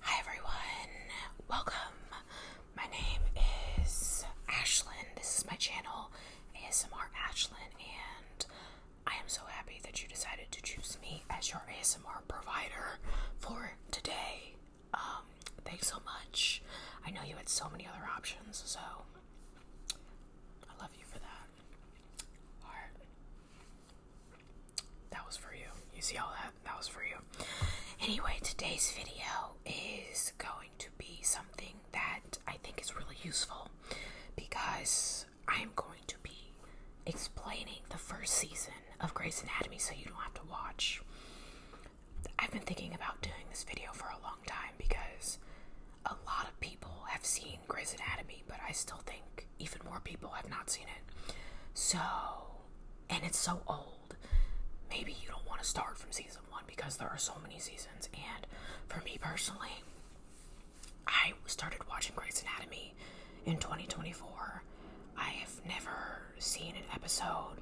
Hi everyone, welcome. My name is Ashlyn. This is my channel, ASMR Ashlyn, and I am so happy that you decided to choose me as your ASMR provider for today. Um, thanks so much. I know you had so many other options, so I love you for that that was for you. You see all that? That was for you. Anyway, today's video is going to be something that I think is really useful because I'm going to be explaining the first season of Grey's Anatomy so you don't have to watch. I've been thinking about doing this video for a long time because a lot of people have seen Grey's Anatomy, but I still think even more people have not seen it. So and it's so old. Maybe you don't want to start from season one because there are so many seasons. And for me personally, I started watching Grey's Anatomy in 2024. I have never seen an episode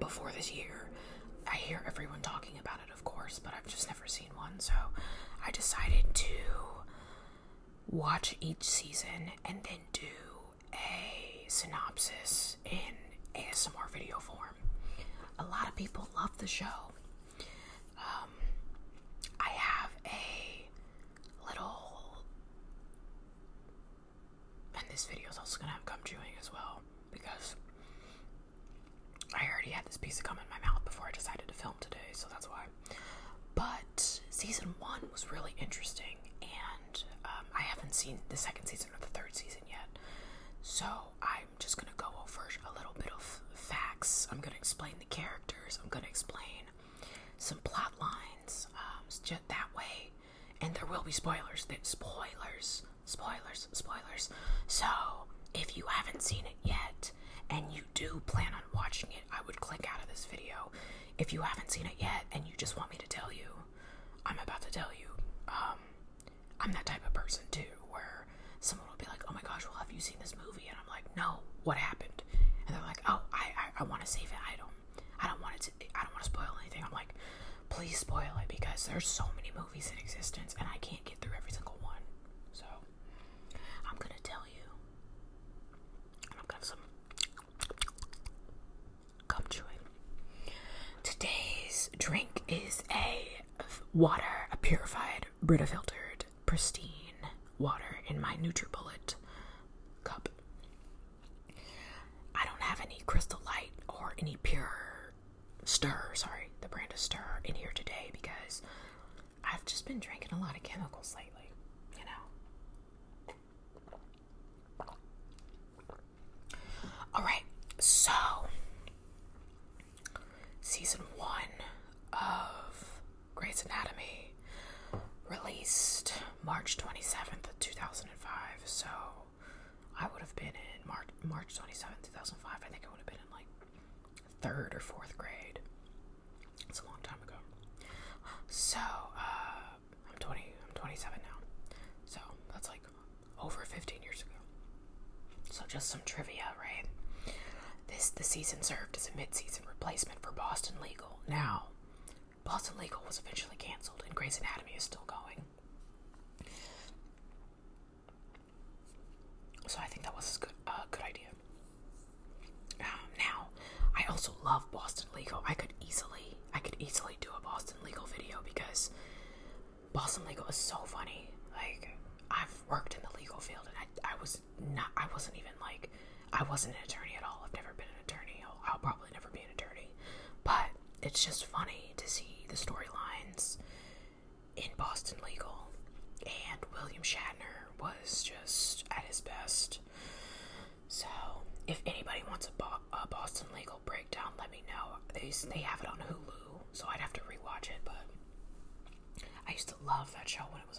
before this year. I hear everyone talking about it, of course, but I've just never seen one. So I decided to watch each season and then do a synopsis in ASMR video form. A lot of people love the show. Um, I have a little, and this video is also gonna have gum chewing as well because I already had this piece of gum in my mouth before I decided to film today, so that's why but season one was really interesting, and um, I haven't seen the second season or the third season yet. So I'm just gonna go over a little bit of facts. I'm gonna explain the characters. I'm gonna explain some plot lines. Um, just that way, and there will be spoilers. That spoilers, spoilers, spoilers. So if you haven't seen it yet and you do plan on watching it, I would click out of this video if you haven't seen it yet and you just want me to tell you, I'm about to tell you. Um, I'm that type of person too, where someone will be like, "Oh my gosh, well, have you seen this movie?" And I'm like, "No, what happened?" And they're like, "Oh, I I, I want to save it. I don't, I don't want it to. I don't want to spoil anything." I'm like, "Please spoil it because there's so many movies in existence, and I can't get through every single one." So I'm gonna tell you, and i Come to Today's drink is a water, a purified, Brita filtered, pristine water in my NutriBullet cup. I don't have any Crystal Light or any pure stir, sorry, the brand of stir in here today because I've just been drinking a lot of chemicals lately, you know. All right, so season one of Grey's Anatomy released March 27th, 2005. So I would have been in March, March 27th, 2005. I think I would have been in like third or fourth grade. It's a long time ago. So, uh, I'm 20. I'm 27 now. So that's like over 15 years ago. So just some trivia, right? This the season served as a mid-season replacement for Boston Legal. Now, Boston Legal was officially canceled, and Grey's Anatomy is still going. So I think that was a good idea. Um, now, I also love Boston Legal. I could easily, I could easily do a Boston Legal video because Boston Legal is so funny. Like, I've worked in the legal field, and I, I was not, I wasn't even like, I wasn't an attorney at all. I've never been an attorney. I'll probably never be an attorney. But it's just funny to see the storylines in Boston Legal, and William Shatner was just at his best. So, if anybody wants a, Boston legal breakdown, let me know. They they have it on Hulu, so I'd have to rewatch it. But I used to love that show when it was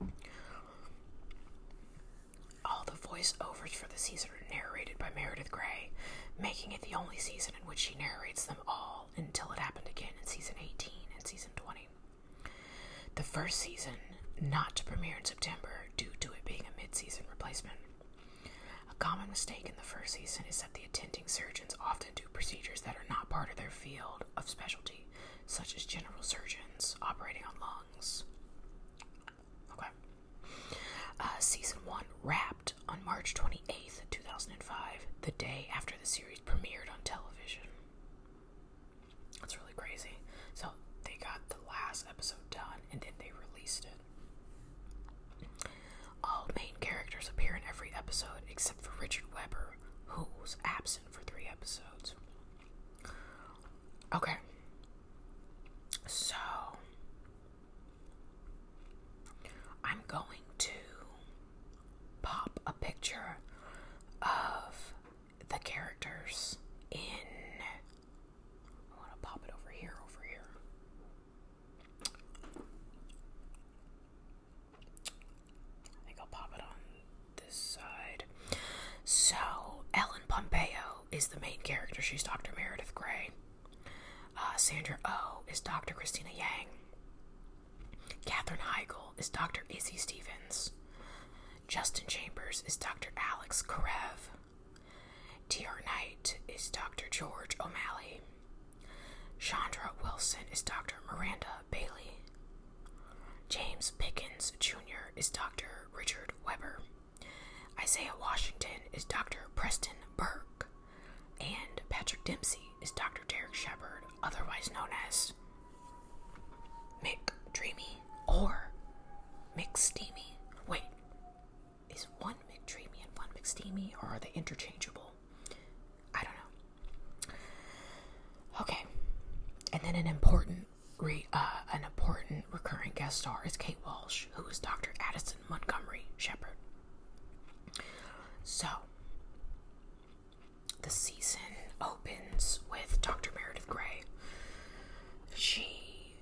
on. All the voiceovers for the season are narrated by Meredith Grey, making it the only season in which she narrates them all until it happened again in season 18 and season 20. The first season not to premiere in September due to it being a mid season replacement. A common mistake in the first season is that the attending surgeons often do procedures that are not part of their field of specialty, such as general surgeons operating on lungs. Okay. Uh, season 1 wrapped on March 28th, 2005, the day after the series premiered on television. That's really crazy. So they got the last episode done and then they released it. All main characters appear in every episode except for Richard Weber, who was absent for three episodes. Okay. So I'm going to pop a picture of the characters in. I want to pop it over here, over here. I think I'll pop it on this side. So, Ellen Pompeo is the main character. She's Dr. Meredith Grey. Uh, Sandra O oh is Dr. Christina Yang. Catherine Heigl is Dr. Izzy Stevens. Justin Chambers is Dr. Alex Karev. T.R. Knight is Dr. George O'Malley. Chandra Wilson is Dr. Miranda Bailey. James Pickens Jr. is Dr. Richard Weber. Isaiah Washington is Dr. Preston Burke. And Patrick Dempsey is Dr. Derek Shepard, otherwise known as Mick Dreamy or Mick Steamy. Wait, is one Mick Dreamy and one Mick Steamy, or are they interchangeable? I don't know. Okay, and then an important uh, an important recurring guest star is Kate Walsh, who is Dr. Addison Montgomery Shepard. So, the season opens with Dr. Meredith Grey. She,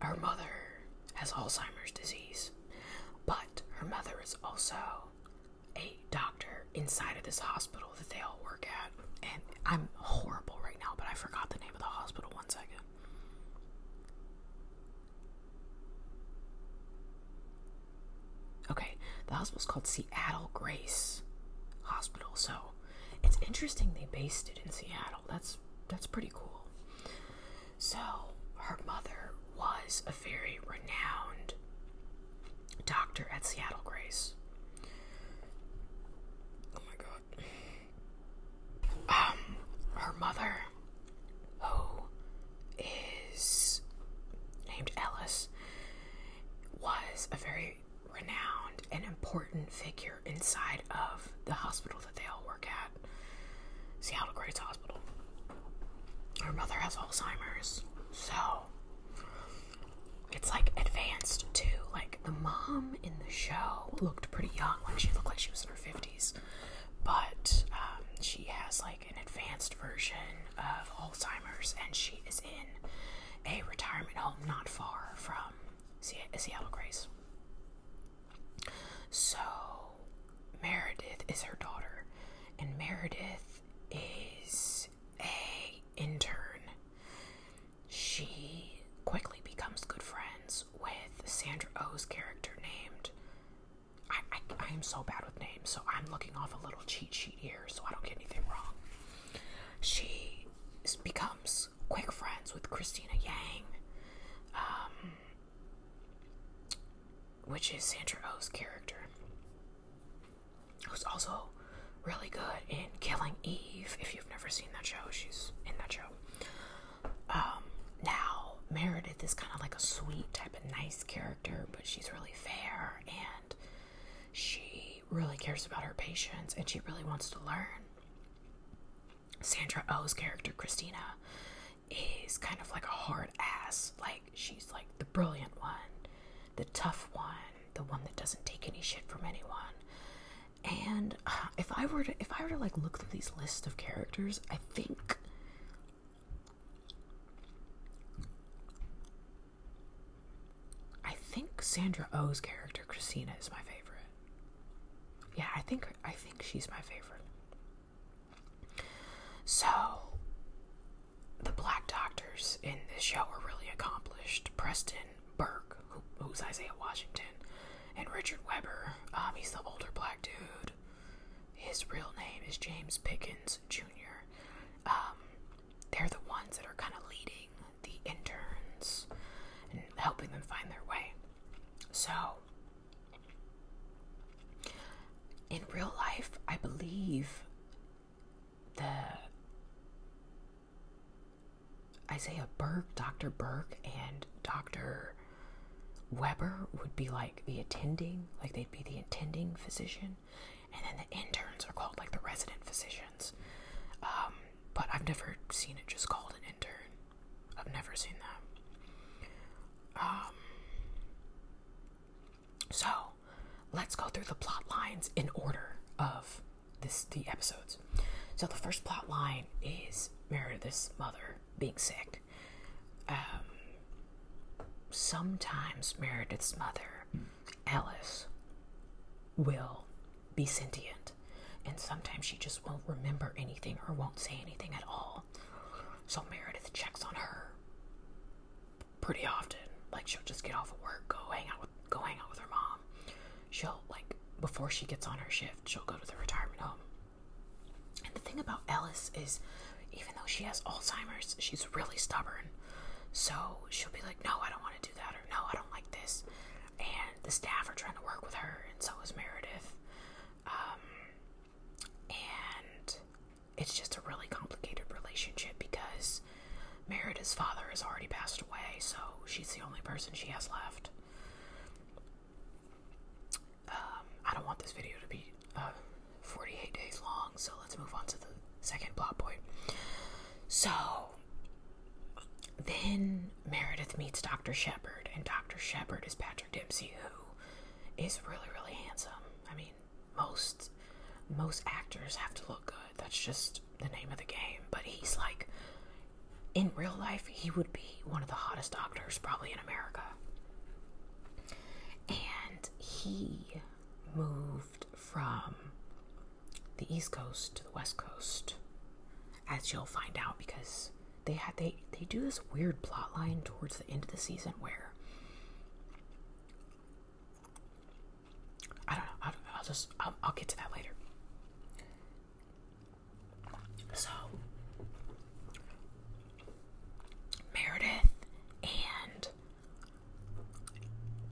her mother, has Alzheimer's disease, but her mother is also a doctor inside of this hospital that they all work at. And I'm horrible right now, but I forgot the name of the hospital. One second. Okay, the hospital's called Seattle Grace Hospital, so it's interesting they based it in Seattle. That's that's pretty cool. So her mother was a very renowned doctor at Seattle Grace. Oh my god. Um, her mother, who is named Ellis was a very renowned and important figure inside of the hospital that they all work at. Seattle Grace Hospital. Her mother has Alzheimer's, so it's like advanced too. Like the mom in the show looked pretty young, like she looked like she was in her 50s, but um, she has like an advanced version of Alzheimer's, and she is in a retirement home not far from Seattle Grace. So, Meredith is her daughter, and Meredith is a intern. She quickly becomes good friends with Sandra O's character named. I, I am so bad with names, so I'm looking off a little cheat sheet so I don't get anything wrong. She becomes quick friends with Christina Yang, um, which is Sandra O's character, who's also really good in Killing Eve. If you've never seen that show, she's in that show. Um, now, Meredith is kind of like a sweet type of nice character, but she's really fair and she really cares about her patients and she really wants to learn. Sandra O's character, Christina, is kind of like a hard ass. Like, she's like the brilliant one, the tough one, the one that doesn't take any shit from anyone. And uh, if I were to if I were to like look through these lists of characters, I think I think Sandra O's character Christina is my favorite. Yeah, I think I think she's my favorite. So the black doctors in this show are really accomplished. Preston Burke, who's Isaiah Washington, and Richard Weber. Um, he's the older black dude. His real name is James Pickens Jr. Um, they're the ones that are kind of leading the interns and helping them find their way. So, in real life, I believe the Isaiah Burke, Dr. Burke, and Dr. Weber would be like the attending, like they'd be the attending physician and then the interns are called like the resident physicians. Um, but I've never seen it just called an intern. I've never seen them. Um, so let's go through the plot lines in order of this the episodes. So the first plot line is Meredith's mother being sick. Um, sometimes Meredith's mother Alice will be sentient, and sometimes she just won't remember anything or won't say anything at all. So Meredith checks on her pretty often. Like she'll just get off of work, go hang out with go hang out with her mom. She'll like before she gets on her shift, she'll go to the retirement home. And the thing about Alice is even though she has Alzheimer's, she's really stubborn. So she'll be like, No, I don't want to do that, or No, I don't like this. And the staff are trying to work with her, and so is Meredith. Um, and it's just a really complicated relationship because Meredith's father has already passed away, so she's the only person she has left. Um, I don't want this video to be uh, 48 days long, so let's move on to the second plot point. So then Meredith meets Dr. Shepard, and Dr. Shepard is Patrick Dempsey, who is really, really handsome. I mean, most most actors have to look good. That's just the name of the game. But he's like in real life, he would be one of the hottest doctors probably in America. And he moved from the East Coast to the West Coast, as you'll find out, because they had they they do this weird plot line towards the end of the season where I don't know. I will just I'll, I'll get to that later. So Meredith and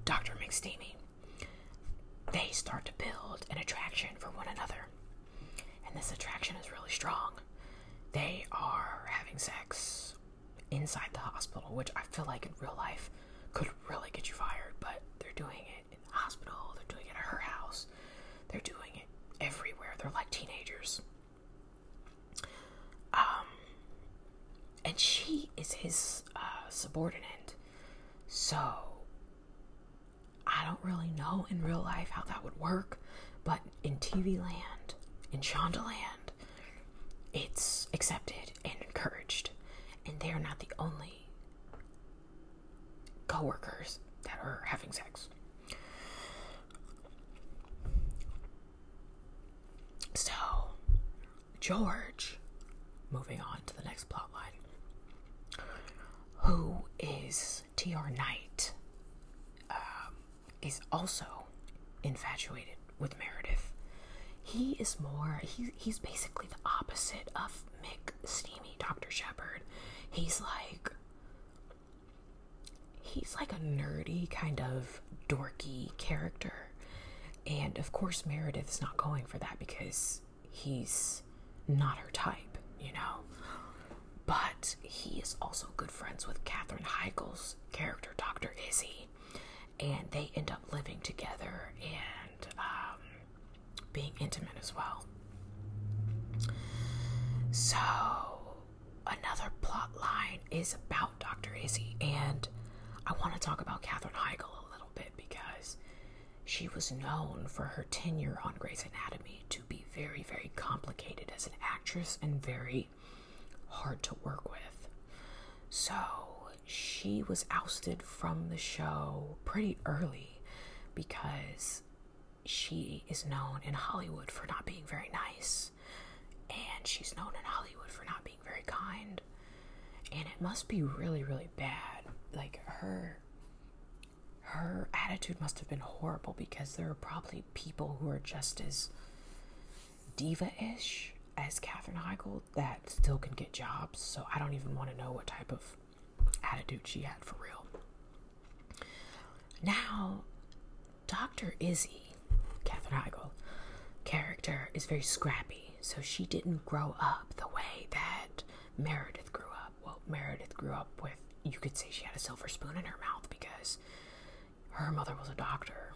Dr. McSteamy. They start to build an attraction for one another. And this attraction is really strong. They are having sex inside the hospital, which I feel like in real life could really get you fired, but they're doing it in the hospital, they're doing it at her house, they're doing it everywhere. They're like teenagers. Um, and she is his uh, subordinate. So I don't really know in real life how that would work, but in TV land, in Shondaland, it's accepted and encouraged. And they are not the only coworkers that are having sex. So, George, moving on to the next plot line, who is T.R. Knight, um, is also infatuated with Meredith. He is more, he, he's basically the opposite of Mick Steamy, Dr. Shepherd. He's like, he's like a nerdy kind of dorky character and of course, Meredith is not going for that because he's not her type, you know. But he is also good friends with Katherine Heigl's character, Dr. Izzy, and they end up living together and um, being intimate as well. So, another plot line is about Dr. Izzy and I want to talk about Katherine Heigl a little bit because she was known for her tenure on Grey's Anatomy to be very, very complicated as an actress and very hard to work with. So she was ousted from the show pretty early because she is known in Hollywood for not being very nice and she's known in Hollywood for not being very kind. And it must be really, really bad. Like her her attitude must have been horrible because there are probably people who are just as diva-ish as Katherine Heigl that still can get jobs. So I don't even want to know what type of attitude she had for real. Now Dr. Izzy, Katherine Heigl, character is very scrappy, so she didn't grow up the way that Meredith grew up. Well, Meredith grew up with, you could say she had a silver spoon in her mouth because her mother was a doctor.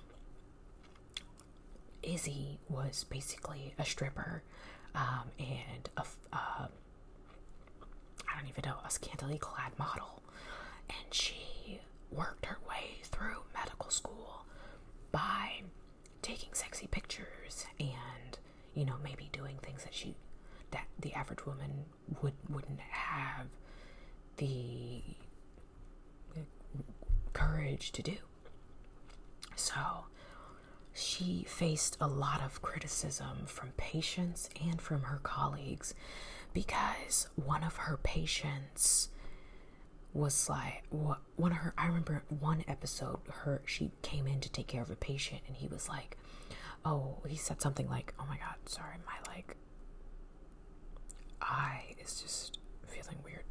Izzy was basically a stripper um, and a, uh, don't even know, a scantily clad model. And she worked her way through medical school by taking sexy pictures and you know maybe doing things that she that the average woman would wouldn't have the courage to do. So she faced a lot of criticism from patients and from her colleagues because one of her patients was sly. one of her I remember one episode her she came in to take care of a patient and he was like oh he said something like oh my god sorry my like I is just feeling weird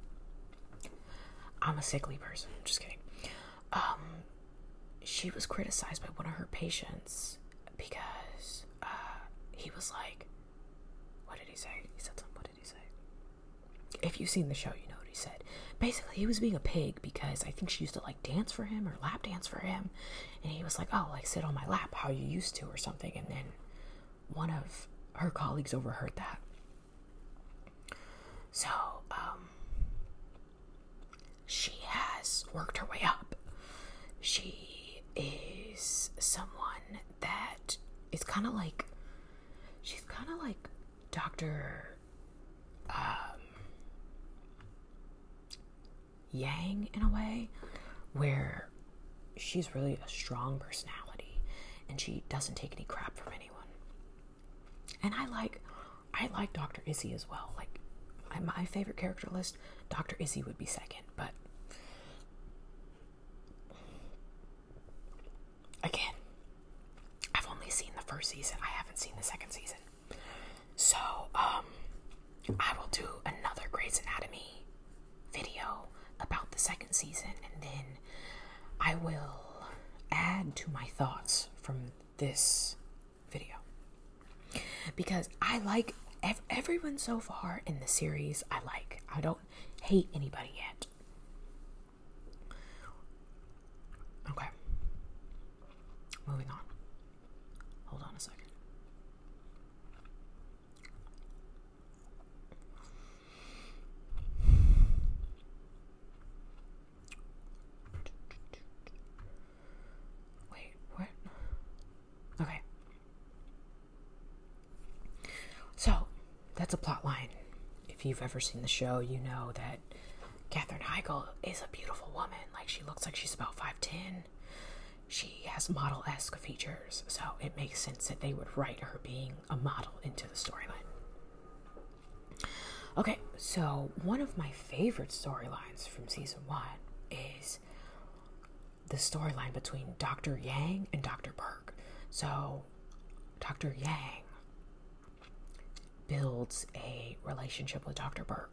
I'm a sickly person just kidding um she was criticized by one of her patients because uh he was like what did he say he said something if you've seen the show, you know what he said. Basically, he was being a pig because I think she used to like dance for him or lap dance for him, and he was like, "Oh, like sit on my lap, how you used to," or something. And then one of her colleagues overheard that. So, um, she has worked her way up. She is someone that it's kind of like she's kind of like Dr. Um, Yang in a way where she's really a strong personality and she doesn't take any crap from anyone. And I like I like Dr. Izzy as well. Like my favorite character list, Dr. Izzy would be second, but Again, I've only seen the first season. I haven't seen the second season. So, um, I will do another Grey's Anatomy video about the second season and then I will add to my thoughts from this video. Because I like everyone so far in the series, I like. I don't hate anybody yet. Okay. Moving on. Hold on a second. Wait, what? Okay. So that's a plotline. If you've ever seen the show, you know that Katherine Heigl is a beautiful woman. Like she looks like she's about 5'10. She has model esque features, so it makes sense that they would write her being a model into the storyline. Okay, so one of my favorite storylines from season one is the storyline between Dr. Yang and Dr. Berg. So, Dr. Yang builds a relationship with Dr. Berg.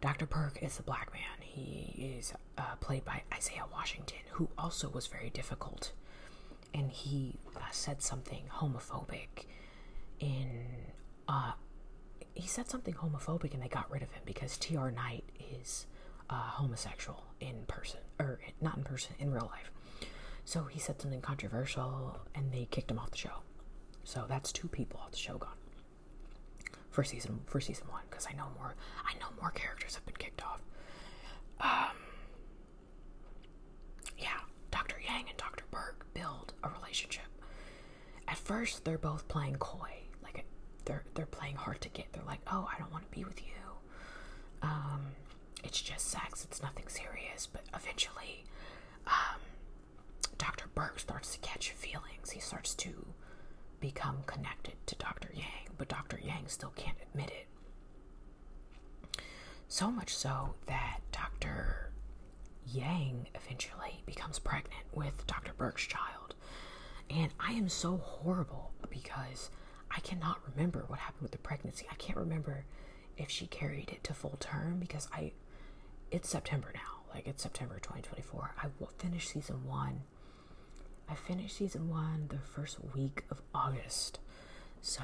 Dr. Berg is a black man. He is uh, played by Isaiah Washington, who also was very difficult. And he uh, said something homophobic in. Uh, he said something homophobic and they got rid of him because T.R. Knight is uh, homosexual in person, or not in person, in real life. So he said something controversial and they kicked him off the show. So that's two people off the show gone for season for season one because I know more I know more characters have been kicked off. Um, yeah, Dr. Yang and Dr. Berg build a relationship. At first, they're both playing coy, like they're they're playing hard to get. They're like, "Oh, I don't want to be with you. Um, it's just sex, it's nothing serious, but eventually, um, Dr. Burke starts to catch feelings. He starts to become connected to Dr. Yang, but Dr. Yang still can't admit it. So much so that Dr. Yang eventually becomes pregnant with Dr. Burke's child. And I am so horrible because I cannot remember what happened with the pregnancy. I can't remember if she carried it to full term because I it's September now. Like it's September 2024. I will finish season 1. I finished season 1 the first week of August. So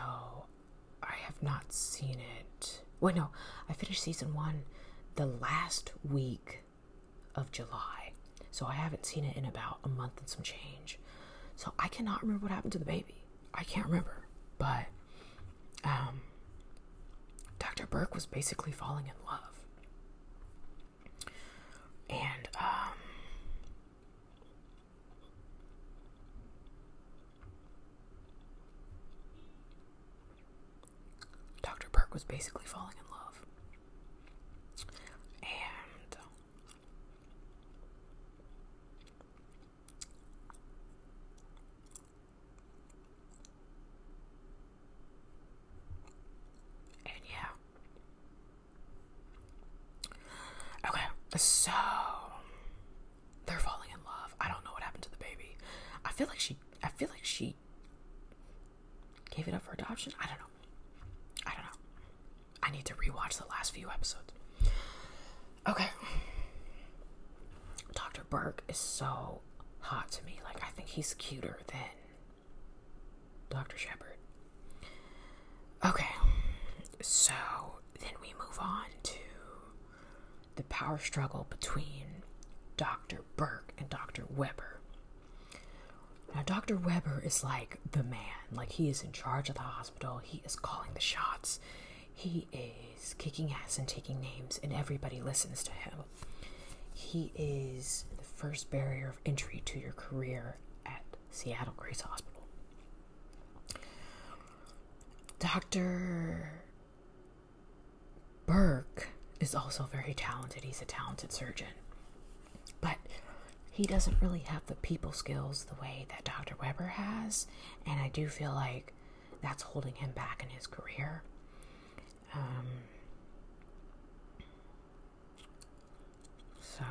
I have not seen it. Wait, no. I finished season 1 the last week of July. So I haven't seen it in about a month and some change. So I cannot remember what happened to the baby. I can't remember. But um, Dr. Burke was basically falling in love. And um, Dr. Burke was basically falling in love. And and yeah. Okay, so they're falling in love. I don't know what happened to the baby. I feel like she I feel like she gave it up for adoption. I don't know. I don't know. I need to rewatch the last few episodes. Okay. Dr. Burke is so hot to me. Like, I think he's cuter than Dr. Shepard. Okay. So then we move on to the power struggle between Dr. Burke and Dr. Weber. Now, Dr. Weber is like the man. Like, he is in charge of the hospital. He is calling the shots. He is kicking ass and taking names, and everybody listens to him. He is the first barrier of entry to your career at Seattle Grace Hospital. Dr. Burke is also very talented. He's a talented surgeon. But he doesn't really have the people skills the way that Dr. Weber has, and I do feel like that's holding him back in his career. Um, so,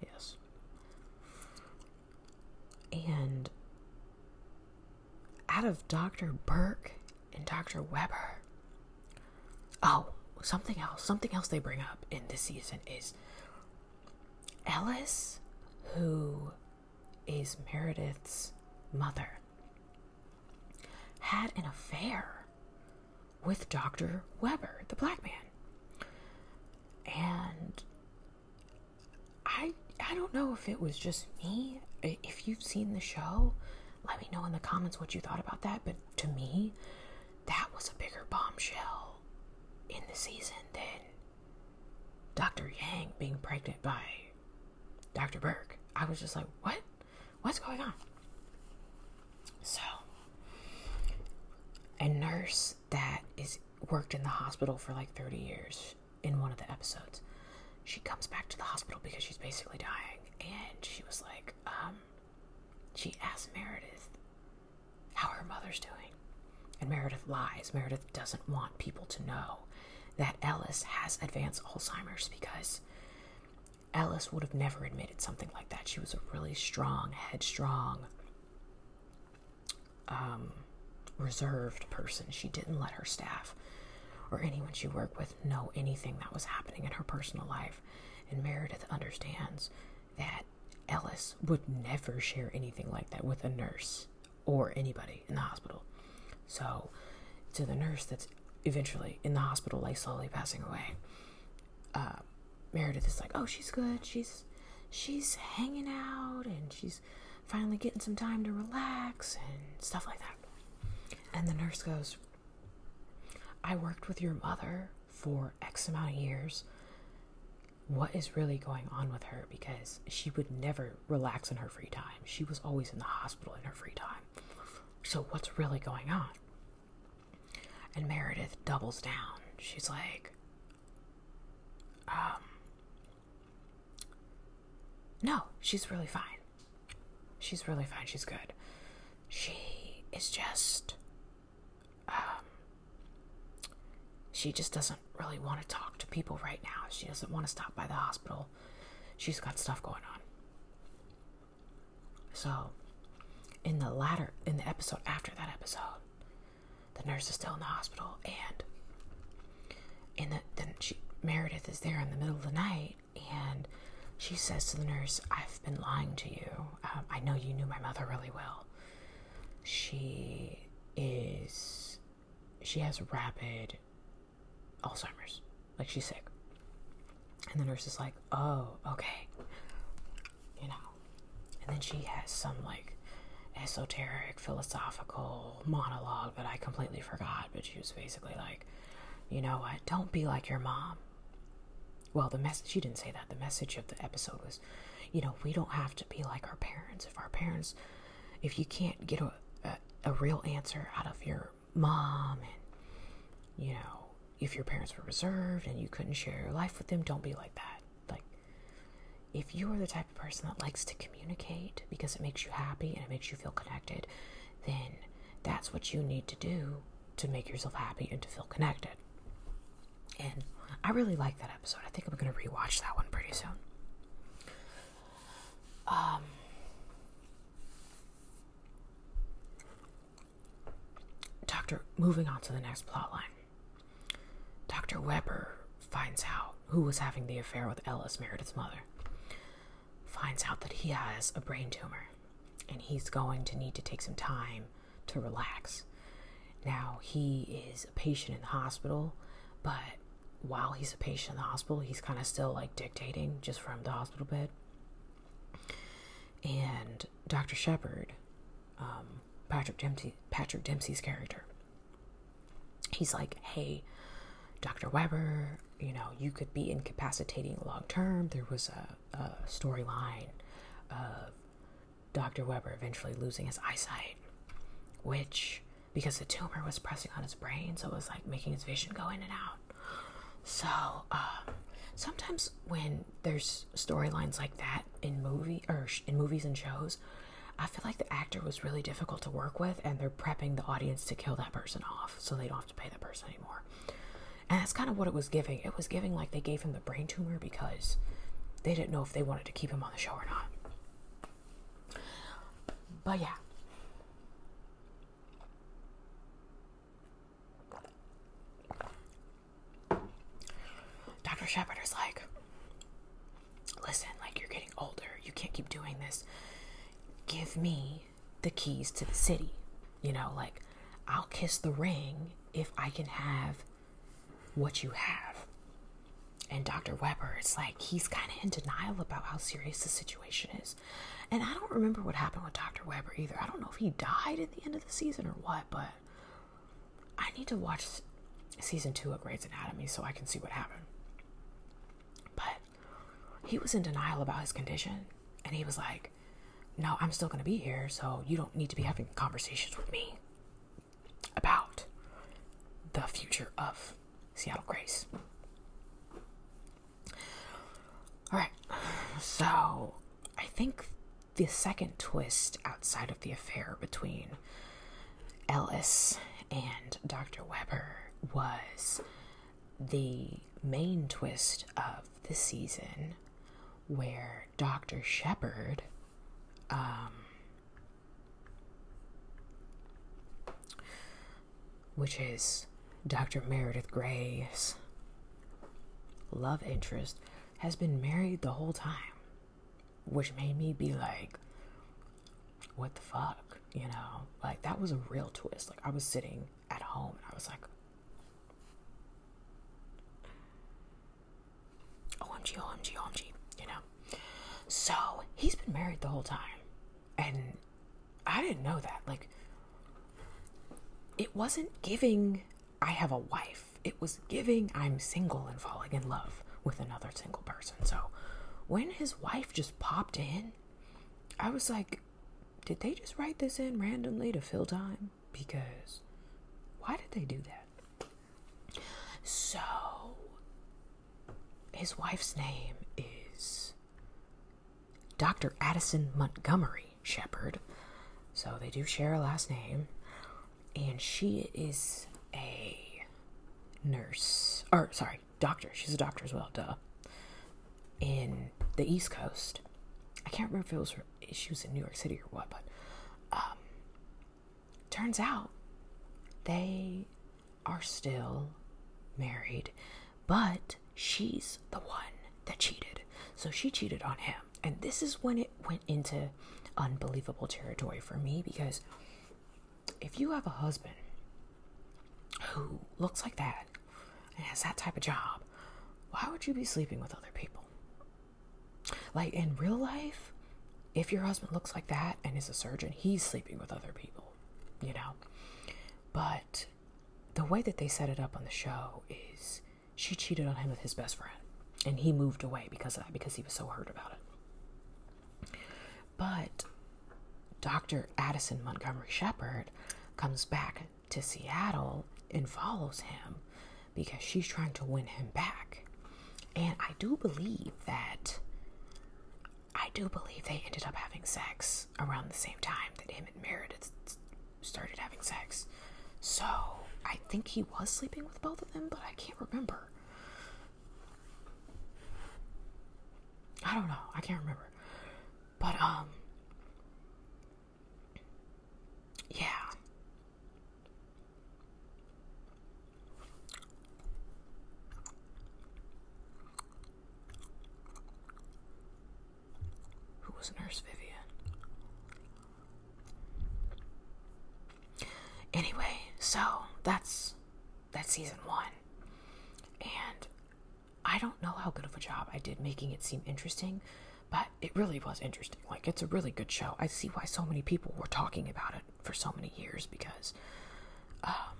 yes. And out of Dr. Burke and Dr. Weber, Oh, something else. Something else they bring up in this season is Ellis, who is Meredith's mother, had an affair with Dr. Weber, the black man. And I I don't know if it was just me. If you've seen the show, let me know in the comments what you thought about that, but to me, that was a bigger bombshell in the season than Dr. Yang being pregnant by Dr. Burke. I was just like, what? What's going on? So, a nurse that is worked in the hospital for like 30 years in one of the episodes. She comes back to the hospital because she's basically dying and she was like, um she asks Meredith how her mother's doing. And Meredith lies. Meredith doesn't want people to know that Ellis has advanced Alzheimer's because Ellis would have never admitted something like that. She was a really strong, headstrong, um, reserved person. She didn't let her staff or anyone she worked with know anything that was happening in her personal life. And Meredith understands that Ellis would never share anything like that with a nurse or anybody in the hospital. So, to the nurse that's eventually in the hospital, like slowly passing away, uh, Meredith is like, "Oh, she's good. She's she's hanging out, and she's finally getting some time to relax and stuff like that." And the nurse goes, I worked with your mother for X amount of years. What is really going on with her? Because she would never relax in her free time. She was always in the hospital in her free time. So, what's really going on? And Meredith doubles down. She's like, um, no, she's really fine. She's really fine. She's good. She is just. Um, she just doesn't really want to talk to people right now. She doesn't want to stop by the hospital. She's got stuff going on. So, in the latter, in the episode after that episode, the nurse is still in the hospital, and in the then Meredith is there in the middle of the night, and she says to the nurse, I've been lying to you. Um, I know you knew my mother really well. She is, she has rapid Alzheimer's. Like she's sick. And the nurse is like, oh, okay. You know. And then she has some like esoteric philosophical monologue that I completely forgot, but she was basically like, you know what? Don't be like your mom well the message she didn't say that the message of the episode was you know we don't have to be like our parents if our parents if you can't get a, a, real answer out of your mom and you know if your parents were reserved and you couldn't share your life with them don't be like that like if you are the type of person that likes to communicate because it makes you happy and it makes you feel connected then that's what you need to do to make yourself happy and to feel connected. And I really like that episode. I think I'm going to rewatch that one pretty soon. Um, Dr. Moving on to the next plot line. Dr. Weber finds out who was having the affair with Ellis, Meredith's mother, finds out that he has a brain tumor and he's going to need to take some time to relax. Now, he is a patient in the hospital, but while he's a patient in the hospital, he's kind of still like dictating just from the hospital bed. And Dr. Shepard, um, Patrick Dempsey, Patrick Dempsey's character, he's like, "Hey, Dr. Weber, you know, you could be incapacitating long term. There was a uh, storyline of Dr. Webber eventually losing his eyesight, which, because the tumor was pressing on his brain, so it was like making his vision go in and out. So, uh, sometimes when there's storylines like that in movie or in movies and shows, I feel like the actor was really difficult to work with, and they're prepping the audience to kill that person off so they don't have to pay that person anymore. And that's kind of what it was giving. It was giving like they gave him the brain tumor because they didn't know if they wanted to keep him on the show or not. But yeah. Dr. Shepard is like, listen, like you're getting older. You can't keep doing this. Give me the keys to the city. You know, like I'll kiss the ring if I can have what you have. And Dr. Webber, it's like he's kind of in denial about how serious the situation is. And I don't remember what happened with Dr. Webber either. I don't know if he died at the end of the season or what, but I need to watch season two of Grey's Anatomy so I can see what happened. But he was in denial about his condition. And he was like, no, I'm still going to be here, so you don't need to be having conversations with me about the future of Seattle Grace. All right, so I think the second twist outside of the affair between Ellis and Dr. Webber was the main twist of the season where Dr. Shepard um, which is Dr. Meredith Gray's love interest has been married the whole time, which made me be like, what the fuck, you know? Like, that was a real twist. Like, I was sitting at home, and I was like, OMG, OMG, OMG, you know? So he's been married the whole time, and I didn't know that. Like, it wasn't giving, I have a wife. It was giving, I'm single and falling in love with another single person. So when his wife just popped in, I was like, did they just write this in randomly to fill time? because why did they do that? So, his wife's name is Dr. Addison Montgomery Shepherd, So, they do share a last name. And she is a nurse. Or, sorry, doctor. She's a doctor as well, duh in the East Coast. I can't remember if it was she was in New York City or what, but um, turns out they are still married, but she's the one that cheated. So she cheated on him. And this is when it went into unbelievable territory for me because if you have a husband who looks like that and has that type of job, why would you be sleeping with other people? Like in real life, if your husband looks like that and is a surgeon, he's sleeping with other people, you know? But the way that they set it up on the show is she cheated on him with his best friend and he moved away because of that because he was so hurt about it. But Dr. Addison Montgomery Shepard comes back to Seattle and follows him because she's trying to win him back. And I do believe that I do believe they ended up having sex around the same time that him and Meredith started having sex. So I think he was sleeping with both of them, but I can't remember. I don't know. I can't remember. But um yeah. Who was Nurse Vivian? Anyway, so that's that's season one. And I don't know how good of a job I did making it seem interesting, but it really was interesting. Like, it's a really good show. I see why so many people were talking about it for so many years because um,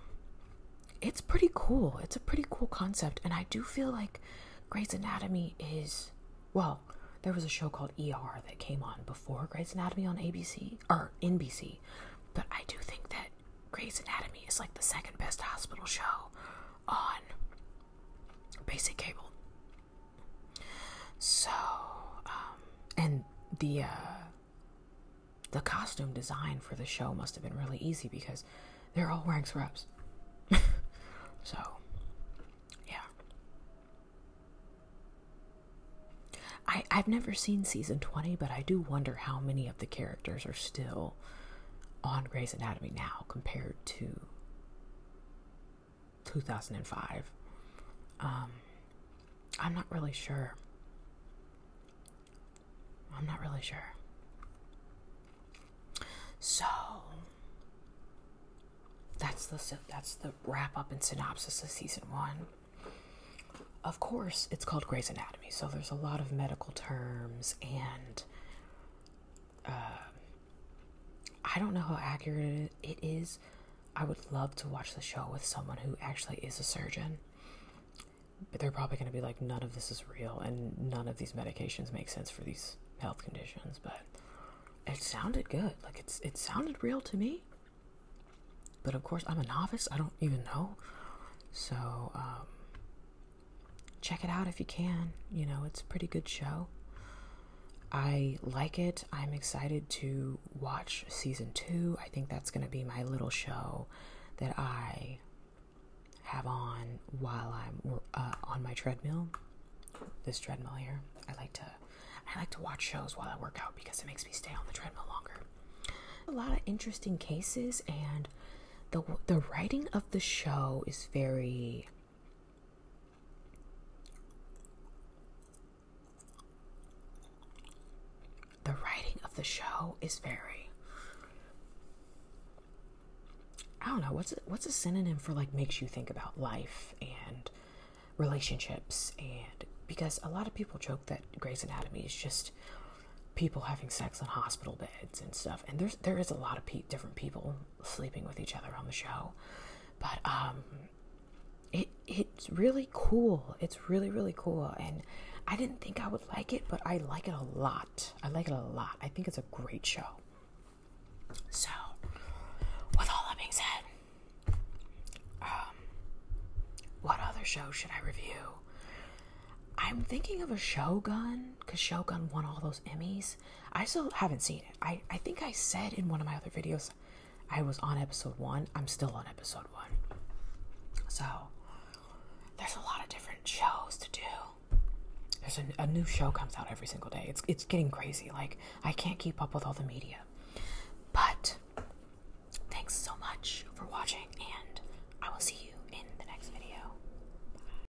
it's pretty cool. It's a pretty cool concept. And I do feel like Grey's Anatomy is, well, there was a show called ER that came on before Grey's Anatomy on ABC or NBC, but I do think that Grey's Anatomy is like the second best hospital show on basic cable. So, um, and the uh, the costume design for the show must have been really easy because they're all wearing scrubs. so, yeah. I I've never seen season twenty, but I do wonder how many of the characters are still on Grey's Anatomy now compared to 2005. Um, I'm not really sure. I'm not really sure. So that's the that's the wrap up and synopsis of season one. Of course, it's called Grey's Anatomy, so there's a lot of medical terms and uh, I don't know how accurate it is. I would love to watch the show with someone who actually is a surgeon. But they're probably going to be like, none of this is real and none of these medications make sense for these health conditions. But it sounded good. Like, it's, it sounded real to me. But of course, I'm a novice. I don't even know. So, um, check it out if you can. You know, it's a pretty good show. I like it. I'm excited to watch season two. I think that's going to be my little show that I have on while I'm uh, on my treadmill. This treadmill here. I like to I like to watch shows while I work out because it makes me stay on the treadmill longer. A lot of interesting cases and the the writing of the show is very the writing of the show is very I don't know what's a, what's a synonym for like makes you think about life and relationships and because a lot of people joke that Grey's Anatomy is just people having sex on hospital beds and stuff and there's there is a lot of different people sleeping with each other on the show. But um, it it's really cool. It's really really cool, and I didn't think I would like it, but I like it a lot. I like it a lot. I think it's a great show. So, with all that being said, um, what other show should I review? I'm thinking of a Shogun because Shogun won all those Emmys. I still haven't seen it. I, I think I said in one of my other videos I was on episode one. I'm still on episode one. So there's a lot of different shows to do. There's a, new show comes out every single day. It's it's getting crazy. Like I can't keep up with all the media. But thanks so much for watching and I will see you in the next video.